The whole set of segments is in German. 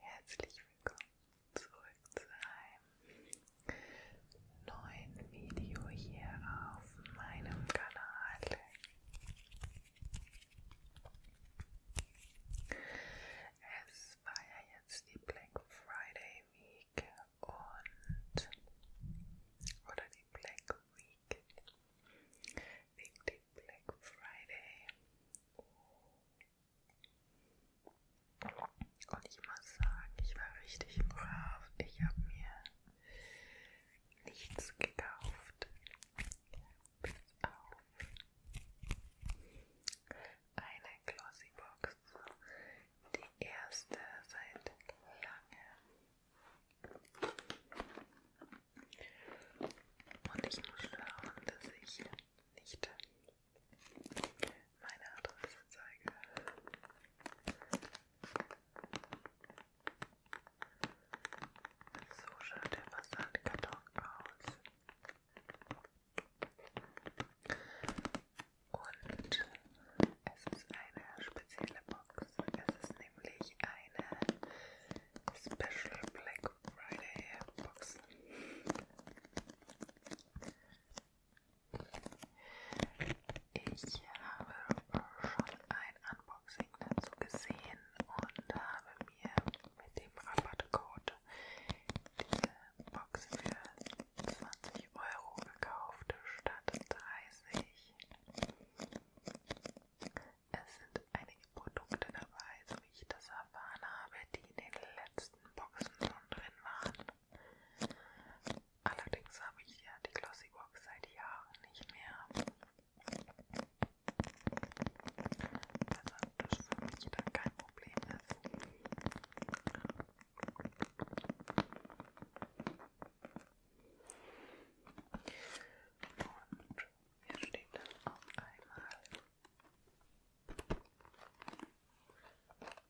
Herzlich willkommen zurück zu einem neuen Video hier auf meinem Kanal. Es war ja jetzt die Black Friday Week und oder die Black Week wegen dem Black Friday. Und ich muss sagen, ich war richtig brav. Ich habe mir nichts gekauft. Bis auf eine Glossybox. Die erste seit langem. Und ich muss schauen, dass ich nicht meine Adresse zeige. So schaut der Versandkarton aus. Und es ist eine spezielle Box. Es ist nämlich eine Special Black Friday Box. Ich habe schon ein Unboxing dazu gesehen und habe mir mit dem Rabattcode diese Box für 20 Euro gekauft statt 30. Es sind einige Produkte dabei, so wie ich das erfahren habe, die in den letzten Boxen schon drin waren. Allerdings habe ich ja die Glossybox seit Jahren nicht mehr. Also das ist für mich dann kein Problem ist. Und hier steht dann auf einmal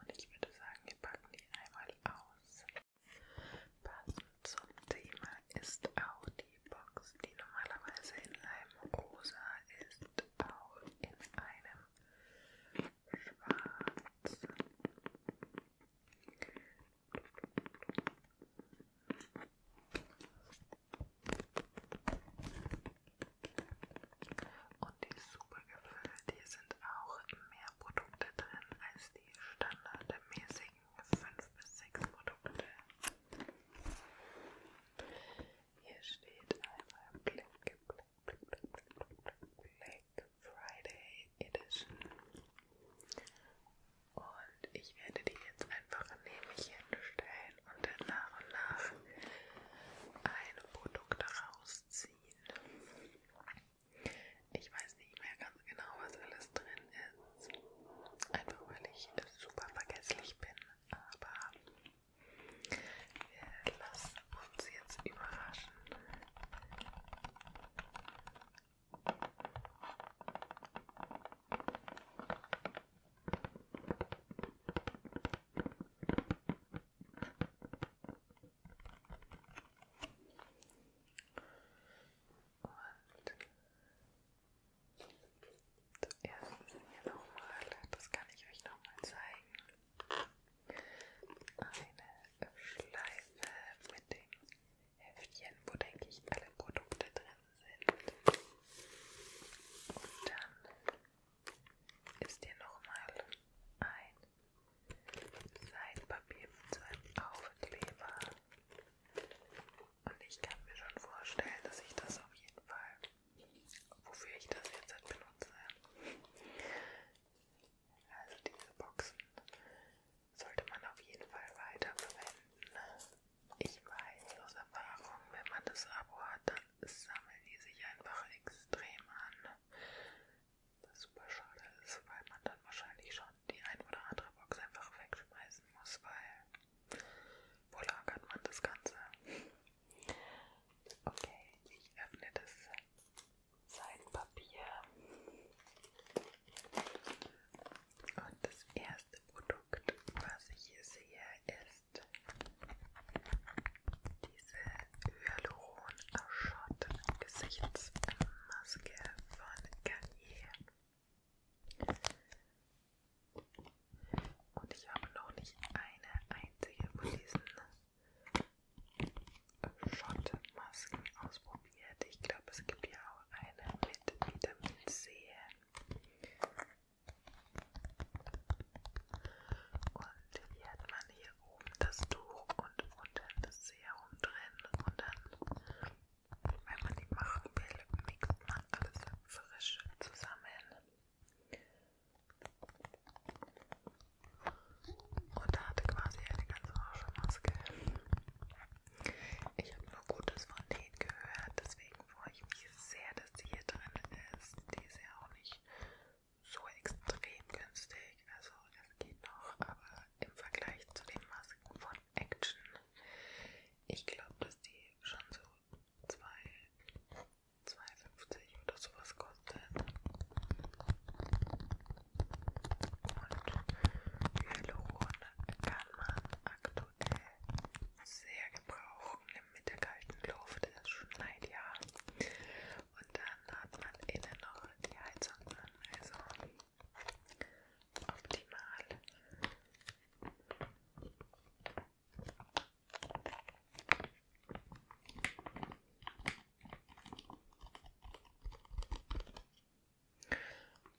Und ich würde sagen, wir packen die einmal aus. Passend zum Thema ist auch die Box, die normalerweise in einem rosa ist, auch in einem schwarz. Und die Supergipfel, die sind auch mehr Produkte drin als die standardmäßigen 5 bis 6 Produkte. Hier steht einmal Black, Black, Black Friday Edition. Und ich werde die jetzt einfach neben mich hinstellen und dann nach und nach ein Produkt rausziehen. Ich weiß nicht mehr ganz genau, was alles drin ist. Einfach weil ich super vergesslich bin. Aber wir lassen uns jetzt überraschen zuerst hier nochmal, das kann ich euch nochmal zeigen, eine Schleife mit dem Heftchen, wo denke ich alle Produkte drin sind. Und dann ist dir nochmal ein Seitenpapier mit so einem Aufkleber. Und ich kann mir schon vorstellen, dass ich das auf jeden Fall, wofür ich das jetzt halt benutze. Also diese Boxen sollte man auf jeden Fall weiter verwenden. Ich weiß aus Erfahrung, wenn man das Abo hat, dann sammeln die sich einfach extrem an. Was super schade ist, weil man dann wahrscheinlich schon die ein oder andere Box einfach wegschmeißen muss, weil wo lagert man das Ganze? Okay, ich öffne das Seitenpapier. Und das erste Produkt, was ich hier sehe, ist diese Hyaluron Gesichtsmaske von Garnier. Und ich habe noch nicht eine einzige von diesen Schottmasken ausprobiert. Ich glaube, es gibt ja auch eine mit Vitamin C. Und hier hat man hier oben das Tuch und unten das Serum drin. Und dann, wenn man die machen will, mixt man alles frisch zusammen. Und da hatte quasi eine ganze Maske. Ich habe nur Gutes von denen gehört, deswegen freue ich mich sehr das hier drin ist. Die ist ja auch nicht so extrem günstig. Also das geht noch, aber im Vergleich zu den Masken von Action, ich glaube, dass die schon so 2,50 oder sowas kostet. Und Hyaluron kann man aktuell sehr gebrauchen, mit der kalten Luft, es schneit ja. Und dann hat man innen noch die Heizung an, also optimal.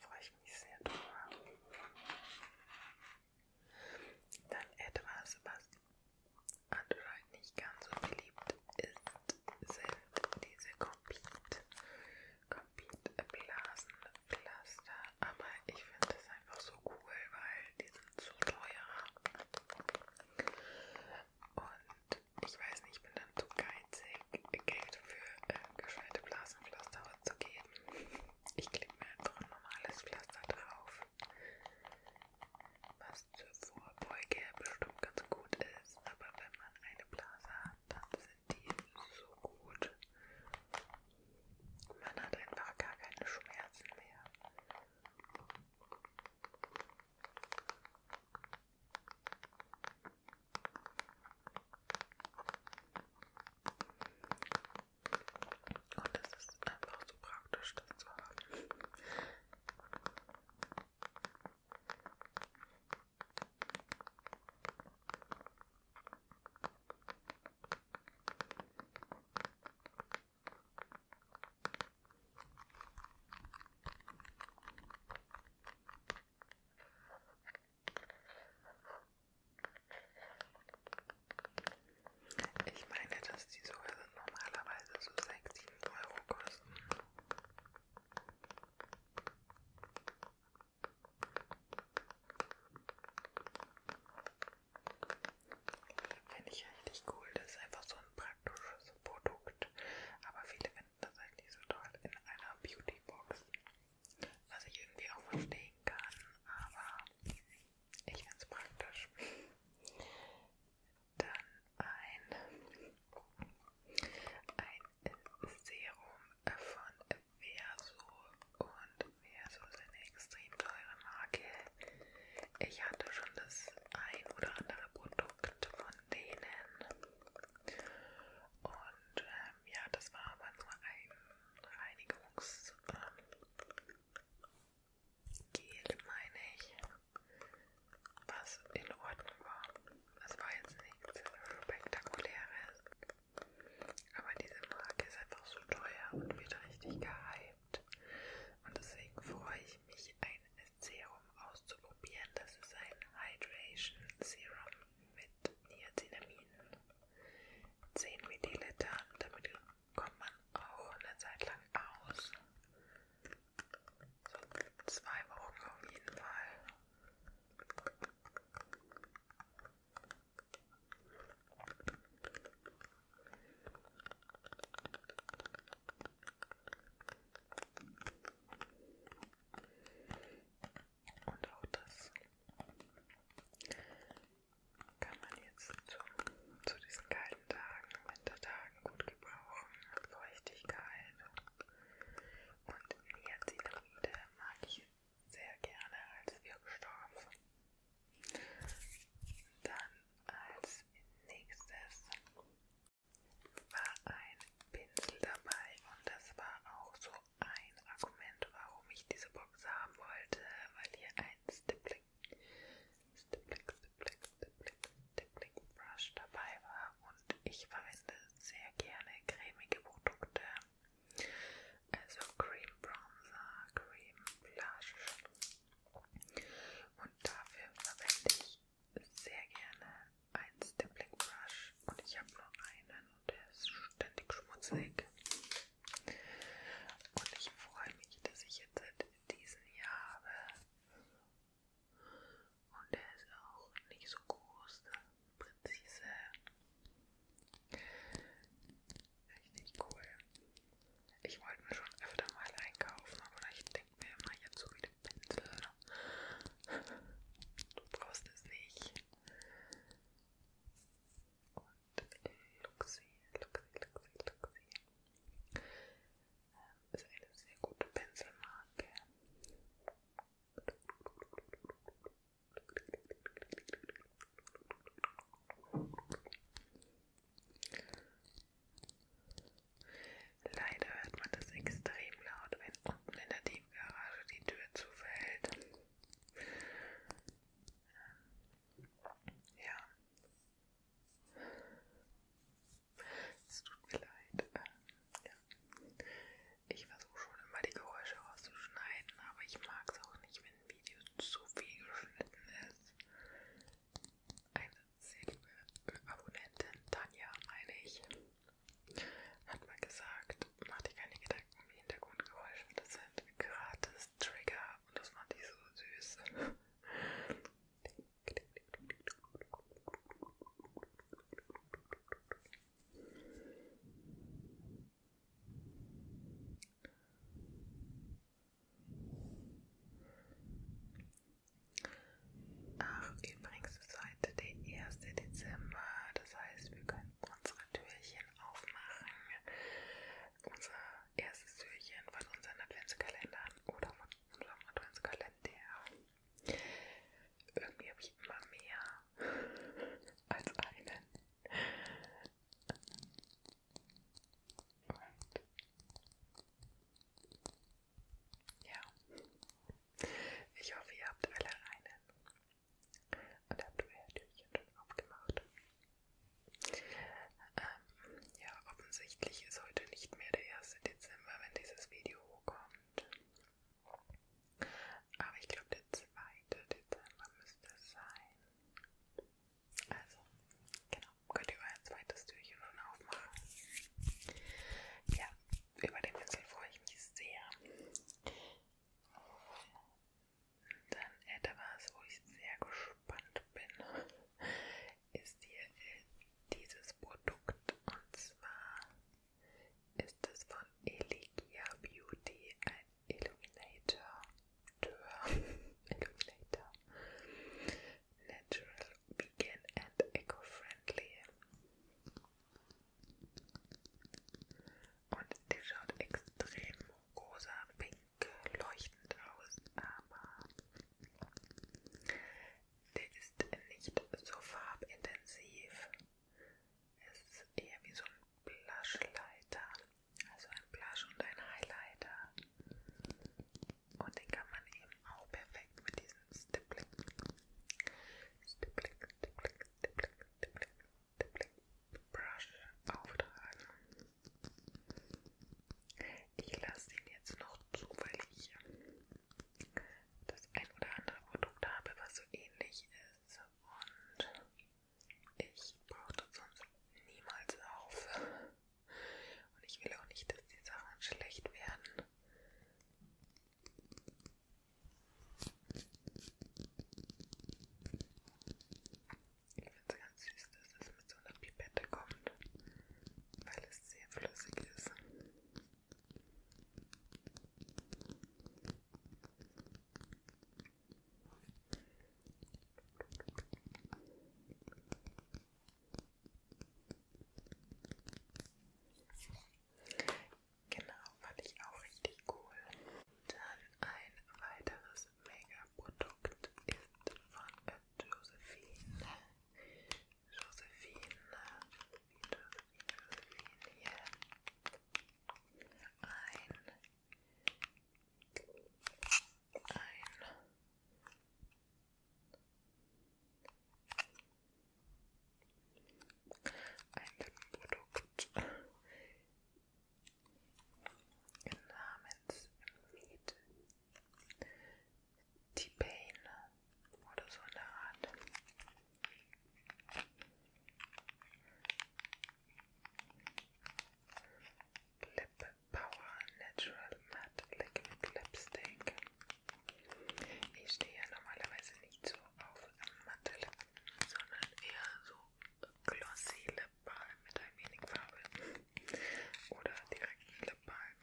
Freue ich mich sehr drüber. Dann etwas, was Android nicht ganz so beliebt ist, sind diese Compete. Compete Blasen Pflaster, aber ich finde das einfach so cool, weil die sind so teuer. Und ich weiß nicht, ich bin dann zu geizig, Geld für äh, gescheite Blasenpflaster auszugeben. Ich klebe mir einfach ein normales Pflaster drauf, was zur Vorbeuge bestimmt ganz gut ist, aber wenn man eine Blase hat, dann sind die so gut. Man hat einfach gar keine Schmerzen mehr. Und das ist einfach so praktisch, das zu haben. Ich meine, dass die sogar normalerweise so 6, 7 Euro kosten. Finde ich richtig cool, das ist einfach so ein praktisches Produkt, aber viele finden das halt nicht so toll in einer Beautybox, was ich irgendwie auch verstehen kann, aber ich finde es praktisch. Dann ein, ein Serum von Verso. Und Verso ist eine extrem teure Marke. Ich hatte schon das ein oder andere Produkt von denen. Und ähm, ja, das war aber nur ein Reinigungs. Ähm, Gel, meine ich, was in Ordnung war. Das war jetzt nichts Spektakuläres. Aber diese Marke ist einfach so teuer und wird richtig gehypt. Und deswegen freue ich mich, ein Serum auszuprobieren. Das ist ein Hydration Serum mit Niacinamiden. 10 Milliliter, damit kommt man auch eine Zeit lang aus. So zwei Wochen auf jeden Fall. Und auch das kann man jetzt zu, zu diesen kalten Tagen, Wintertagen gut gebrauchen. Feuchtigkeit und Niacinamide mag ich sehr gerne als Wirkstoff. Dann als nächstes war ein Pinsel dabei und das war auch so ein Argument, warum ich diese Box haben wollte, weil hier ein Stippling Stippling, Stippling, Stippling, Stippling Brush dabei war und ich verwende sehr gerne cremige Produkte, also Cream Bronzer, Cream Blush und dafür verwende ich sehr gerne ein Stippling Brush und ich habe nur einen und der ist ständig schmutzig und ich freue mich, dass ich jetzt seit diesem Jahr habe. Und der ist auch nicht so groß, ne? präzise. Richtig cool. Ich wollte mir schon öfter mal einkaufen, aber ich denke mir immer jetzt so wie den Pinsel. Ne? Du brauchst es nicht und Luxi, Luxi, Luxi, Luxi. Ähm, ist eine sehr gute Pinselmarke. Leider hört man das extrem laut, wenn unten in der Tiefgarage die Tür zufällt. Ähm, ja, es tut mir leid. Ähm, ja. Ich versuche schon immer die Geräusche rauszuschneiden, aber ich mag es auch nicht, wenn ein Video zu viel geschnitten ist. Eine sehr liebe Abonnentin, Tanja, meine ich, hat mal gesagt, mach dir keine Gedanken um die Hintergrundgeräusche, das sind gratis Trigger und das fand ich so süß. Ach, übrigens ist heute der 1. Dezember, das heißt, wir können unsere Türchen aufmachen. Unsere erstes Türchen von unseren Adventskalendern oder von unserem Adventskalender. Irgendwie habe ich immer mehr als einen. Und ja, ich hoffe, ihr habt alle einen. Und habt euer Türchen schon aufgemacht. Ähm, ja, offensichtlich ist heute nicht mehr der 1. Dezember, wenn dieses Video kommt. Aber ich glaube, der 2. Dezember müsste es sein. Also, genau, könnt ihr euer zweites Türchen schon aufmachen. Ja, über den Pinsel freue ich mich sehr. Dann etwas, äh, wo ich sehr gespannt bin, ist hier äh, dieses Produkt und zwar ist es von Eligia Beauty ein Illuminator. Illuminator. Natural, vegan and eco-friendly. Und die schaut extrem rosa, pink leuchtend aus, aber der ist nicht so farbintensiv. Es ist eher wie so ein Blushleiter, also ein Blush und ein Highlighter. Und den kann man eben auch perfekt mit diesem Stippling, Stippling, Stippling, Stippling, Stippling, Stippling Brush auftragen. Ich lasse ihn jetzt noch zu, weil ich das ein oder andere Produkt habe, was so ähnlich ist und ich brauche das sonst niemals auf. Und ich will auch nicht, dass die Sachen schlecht werden. Ich finde es ganz süß, dass es mit so einer Pipette kommt, weil es sehr flüssig ist. Genau, fand ich auch richtig cool. Dann ein weiteres mega product ist von Josephine. Josephine, Josephine, Josephine hier. Ein, ein ein Die Beine oder so eine Art. Lip Power Natural Matte Liquid Lipstick. Ich stehe ja normalerweise nicht so auf matte Lippen, sondern eher so glossy Lipbalm mit ein wenig Farbe oder direkt ein Lipbalm.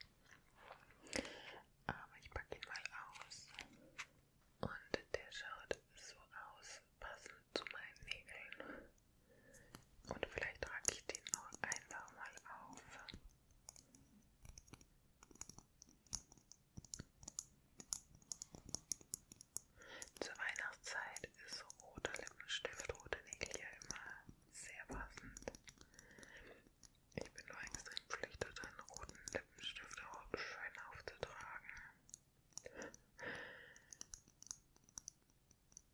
Aber ich packe ihn mal aus und der schaut so aus, passend zu meinen Nägeln. Und vielleicht trage ich den auch einfach mal auf. Zur Weihnachtszeit ist roter Lippenstift, rote Nägel ja immer sehr passend. Ich bin nur extrem verpflichtet, einen roten Lippenstift auch schön aufzutragen.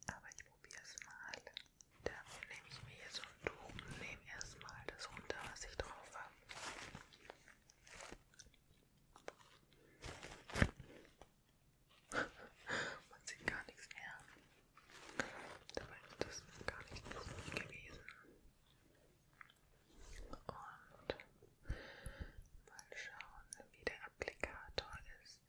Aber ich probiere es mal. Dafür nehme ich mir jetzt so ein Tuch und nehme erstmal das runter, was ich drauf habe. Man sieht gar nichts mehr. Dabei ist das gar nicht lustig gewesen. Und mal schauen, wie der Applikator ist.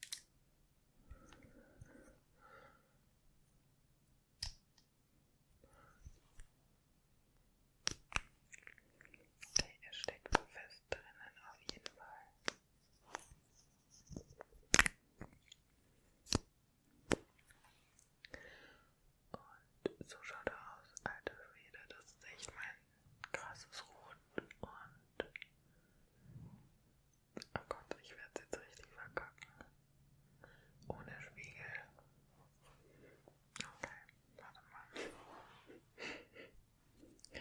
Okay, er steckt fest drinnen auf jeden Fall. Und so schaut er aus, alter Schwede. Das ist echt mein krasses Rot. Und. Oh Gott, ich werde es jetzt richtig verkacken. Ohne Spiegel. Okay, warte mal. ähm,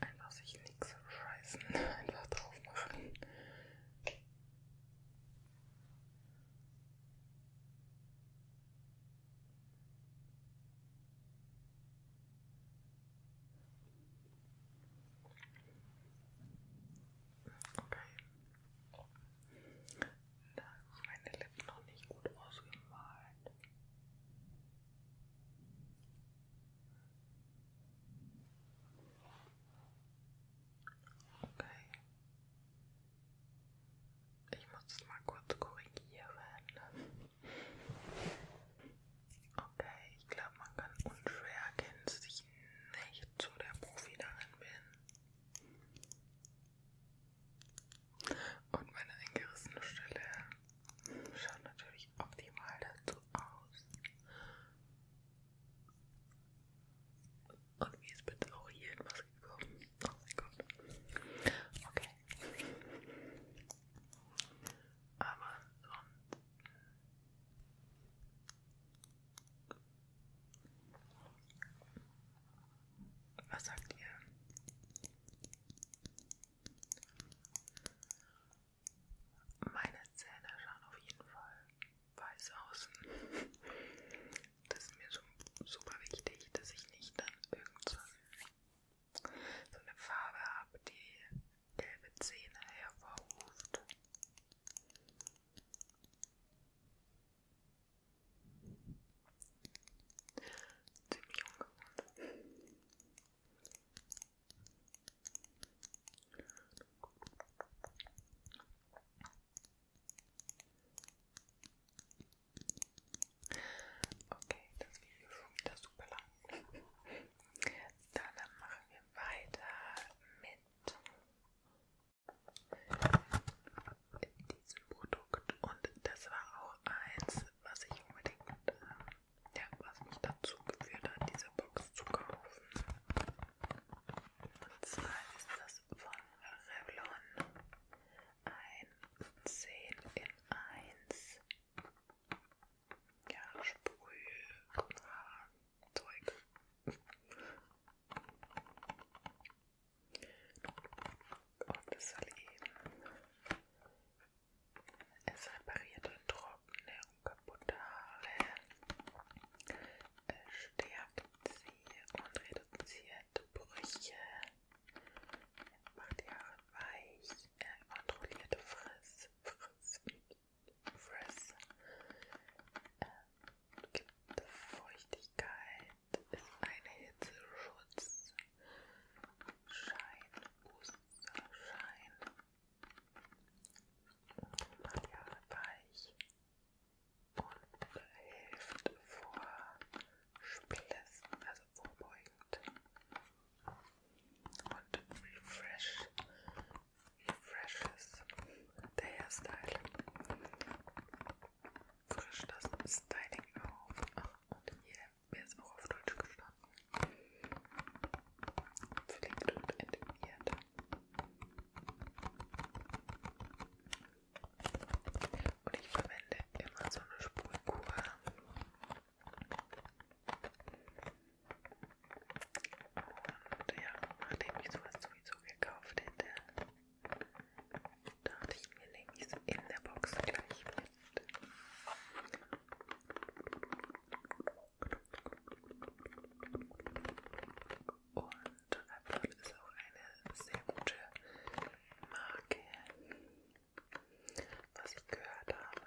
Einfach sich nichts scheißen, einfach drauf machen. Okay. Da sind meine Lippen noch nicht gut ausgemalt. Okay. Ich muss das mal kurz korrigieren. Okay, ich glaube, man kann unschwer erkennen, dass ich nicht so der Profi darin bin. Und meine eingerissene Stelle schaut natürlich optimal dazu aus. Und wie ist bitte auch hier etwas gekommen? Oh mein Gott. Okay. Aber sonst. Was sagt ihr? Meine Zähne schauen auf jeden Fall weiß aus. Das ist mir schon super wichtig, dass ich nicht dann irgend so eine Farbe habe, die gelbe Zähne hervorruft. Ziemlich ungewohnt. Okay, das Video ist schon wieder super lang. Dann machen wir weiter mit in diesem Produkt und das war auch eins, was ich unbedingt, äh, ja, was mich dazu geführt hat, diese Box zu kaufen. Und zwar ist das von Revlon ein 10 in 1 ja, Sprüh, Zeug. Und es soll eben es repariert und trockene und kaputte Haare, es stärkt sie und reduziert Brüche, macht die Haare weich, kontrollierte Friss, Friss, Friss, äh, gibt Feuchtigkeit, ist ein Hitzeschutz. Schein, Musterschein. Macht die Haare weich und hilft vor Splissen, also vorbeugend. Und refresh, refreshes der Hairstyle frisch das Styling auf. Ach, und hier wäre es auch auf Deutsch gestanden. Pflegt und entmiert. Und ich verwende immer so eine Sprühkur. Und ja, nachdem ich sowas sowieso gekauft hätte, Dachte ich mir, nehme ich es in der Box gleich mit. Und Apple ist auch eine sehr gute Marke, was ich gehört habe.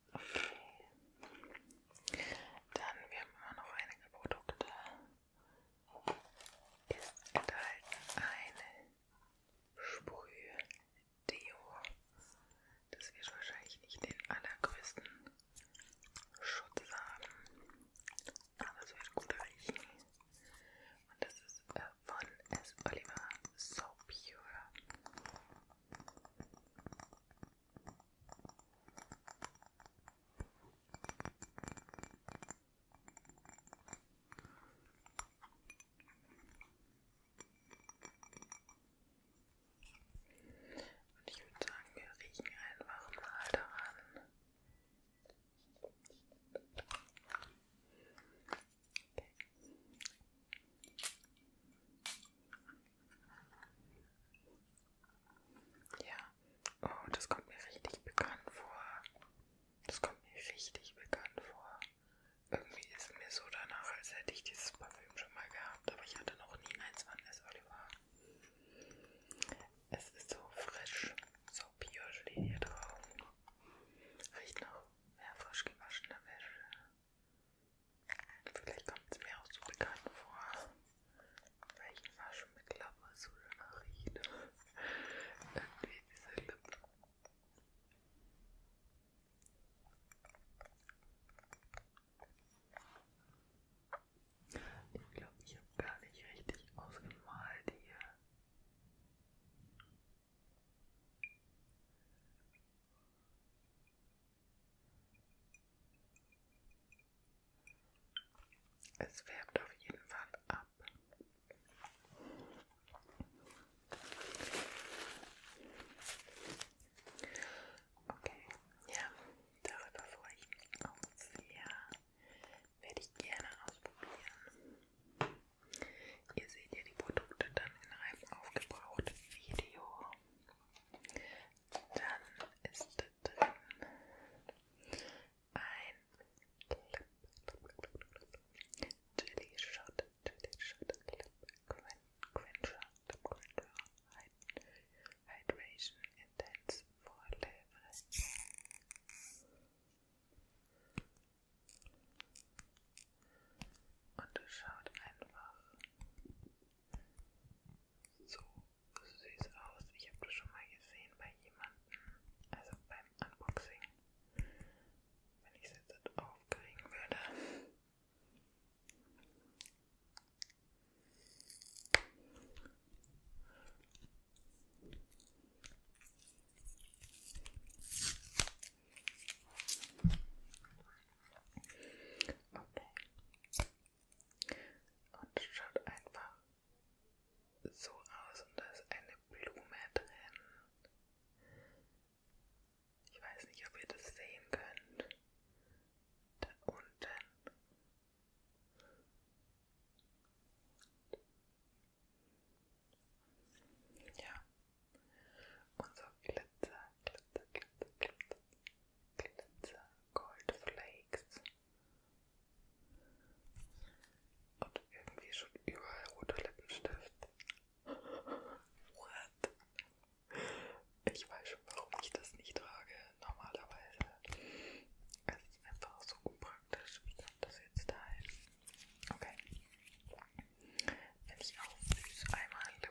Okay. Dann, wir haben immer noch einige Produkte. Ist enthalten eine Sprüh-Deo. Das wird wahrscheinlich nicht den allergrößten Schutz haben, aber es wird gut riechen. Und das ist äh, von S. Oliver So Pure. Und ich würde sagen, wir riechen einfach mal daran. Okay. Ja, oh, das kommt mir richtig bekannt vor. Das kommt mir richtig bekannt vor. Irgendwie ist mir so danach, als hätte ich dieses Parfüm schon mal gehabt, aber ich hatte noch nie eins von S. Oliver. Es ist so frisch, so pure steht hier drauf. Riecht noch mehr frisch gewaschene Wäsche. Vielleicht kommt es mir auch so bekannt vor, weil ich immer schon mit so danach rieche. Irgendwie diese Lippen. Ich glaube, ich habe gar nicht richtig ausgemalt hier. Es färbt auf jeden Fall ab. Okay, ja, darüber freue ich mich auch sehr. Werde ich gerne ausprobieren. Ihr seht ja die Produkte dann in Reifen aufgebraucht Video. Dann ist da drin ein Jelly Shot, Jelly Shot, Lip Quencher, Lip Quencher, Hydration Intense Forever. Und es schaut einfach so süß aus. Ich habe das schon mal gesehen bei jemandem, also beim Unboxing, wenn ich es jetzt aufkriegen würde. Okay. Und schaut einfach so aus und da ist eine Blume drin. Ich weiß nicht, ob ihr das sehen könnt. Da unten. Ja, und so Glitzer, Glitzer, Glitzer, Glitzer, Glitzer, Goldflakes. Und irgendwie schon überall roter Lippenstift. What? Ich weiß schon, warum ich das nicht trage, normalerweise. Es ist einfach so unpraktisch. Wie kommt das jetzt dahin? Okay. Wenn ich auflöse, einmal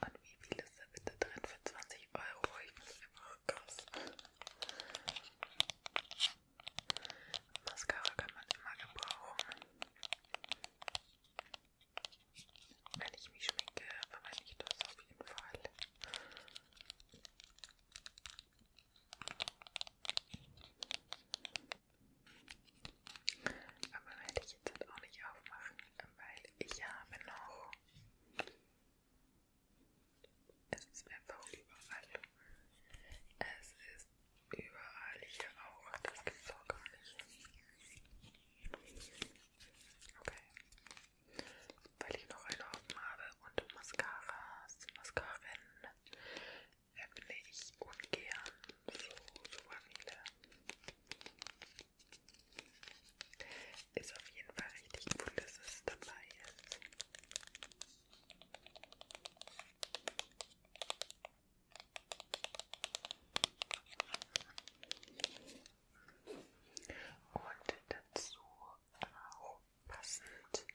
Und wie viel ist da bitte drin für 20 Euro? Ich muss immer raus. Mascara kann man immer gebrauchen. Wenn ich mich schminke, verwende ich das auf jeden Fall. Aber werde ich jetzt halt auch nicht aufmachen, weil ich habe noch es ist einfach überall. Es ist überall hier auch. Das gibt's auch gar nicht. Okay. Weil ich noch einen Haufen habe und Mascaras, Mascaren öffne ich ungern so super viele. Ist auf jeden Fall richtig cool, dass es dabei ist. Und dazu auch passend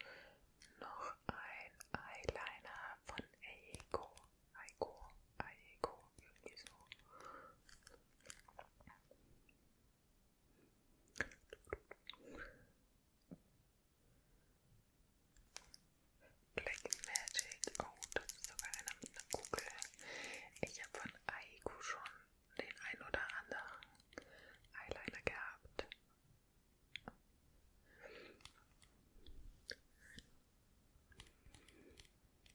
noch ein Eyeliner von Aiko. Aiko, Aiko irgendwie so. Black Magic, oh, das ist sogar einer mit einer Kugel. Ich habe von Aiku schon den ein oder anderen Eyeliner gehabt.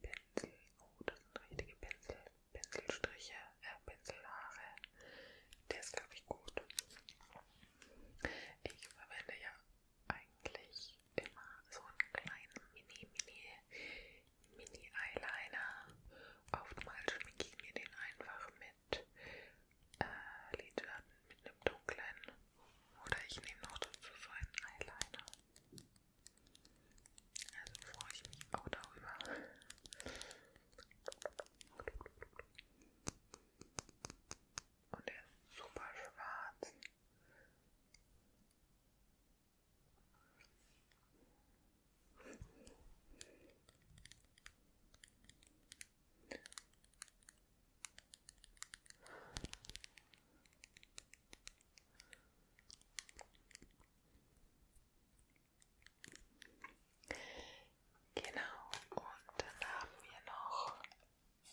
Pinsel. Oh, das sind richtige Pinsel. Pinselstriche, äh, Pinselhaare. Der ist, glaube ich, gut. Ich verwende ja eigentlich immer so einen kleinen Mini, Mini, Mini Eyeliner. Oftmals schminke ich mir den einfach mit äh, Lidschatten, mit einem dunklen. Oder ich nehme noch dazu so einen Eyeliner. Also freue ich mich auch darüber. Und er ist super schwarz. Genau, und dann haben wir noch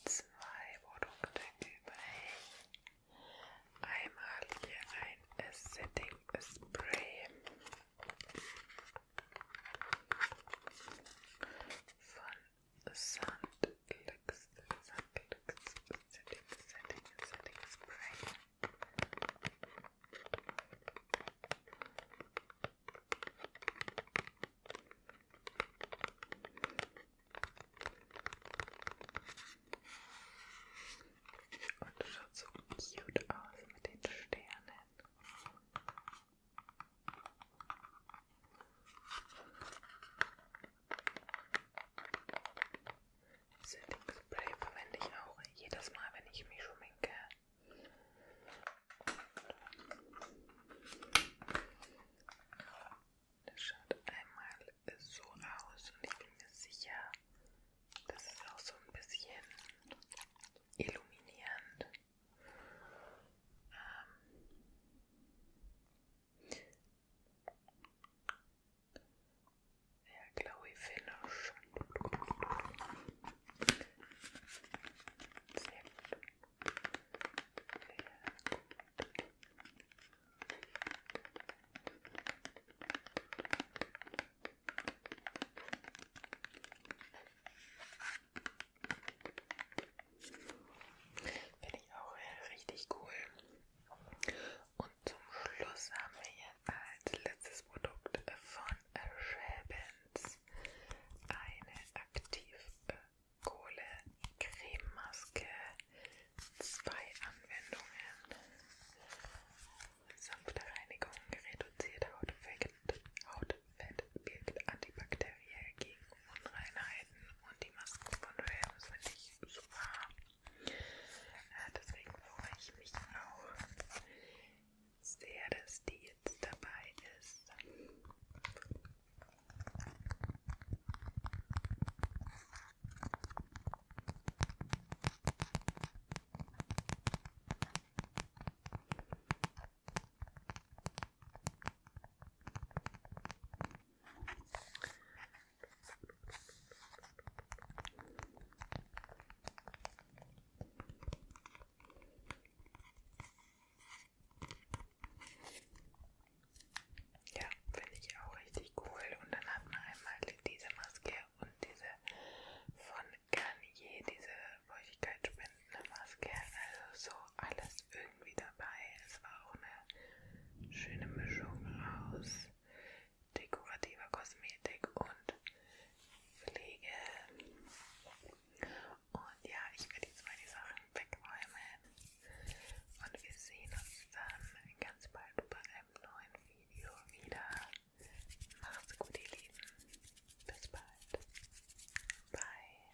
zwei Produkte übrig. Einmal hier ein Setting Spray von Sandlux, Sandlux Setting, Setting, Setting Spray. Und das schaut so cute aus mit den Sternen. Setting Spray verwende ich auch jedes Mal, wenn ich mich schminke. Und das schaut einmal so aus und ich bin mir sicher, das ist auch so ein bisschen illuminierend. Ähm Yeah, glowy finish. Sehr gut. Sehr gut. Finde ich auch äh, richtig cool. Und zum Schluss haben wir jetzt als letztes Produkt von Schäbens eine Aktivkohle-Crememaske. Äh, Zwei Anwendungen. Sanfte Reinigung, reduziert Hautfett, Hautfett wirkt antibakteriell gegen Unreinheiten und die Masken von Schäbens finde ich super. Äh, deswegen freue ich mich auch sehr, dass die jetzt dabei ist. Ja, finde ich auch richtig cool. Und dann hat man einmal diese Maske und diese von Garnier, diese feuchtigkeitsspendende Maske. Also so alles irgendwie dabei. Es war auch eine schöne Mischung aus dekorative Kosmetik und Pflege. Und ja, ich werde jetzt mal die Sachen wegräumen. Und wir sehen uns dann ganz bald bei einem neuen Video wieder. Macht's gut, ihr Lieben. Bis bald. Bye.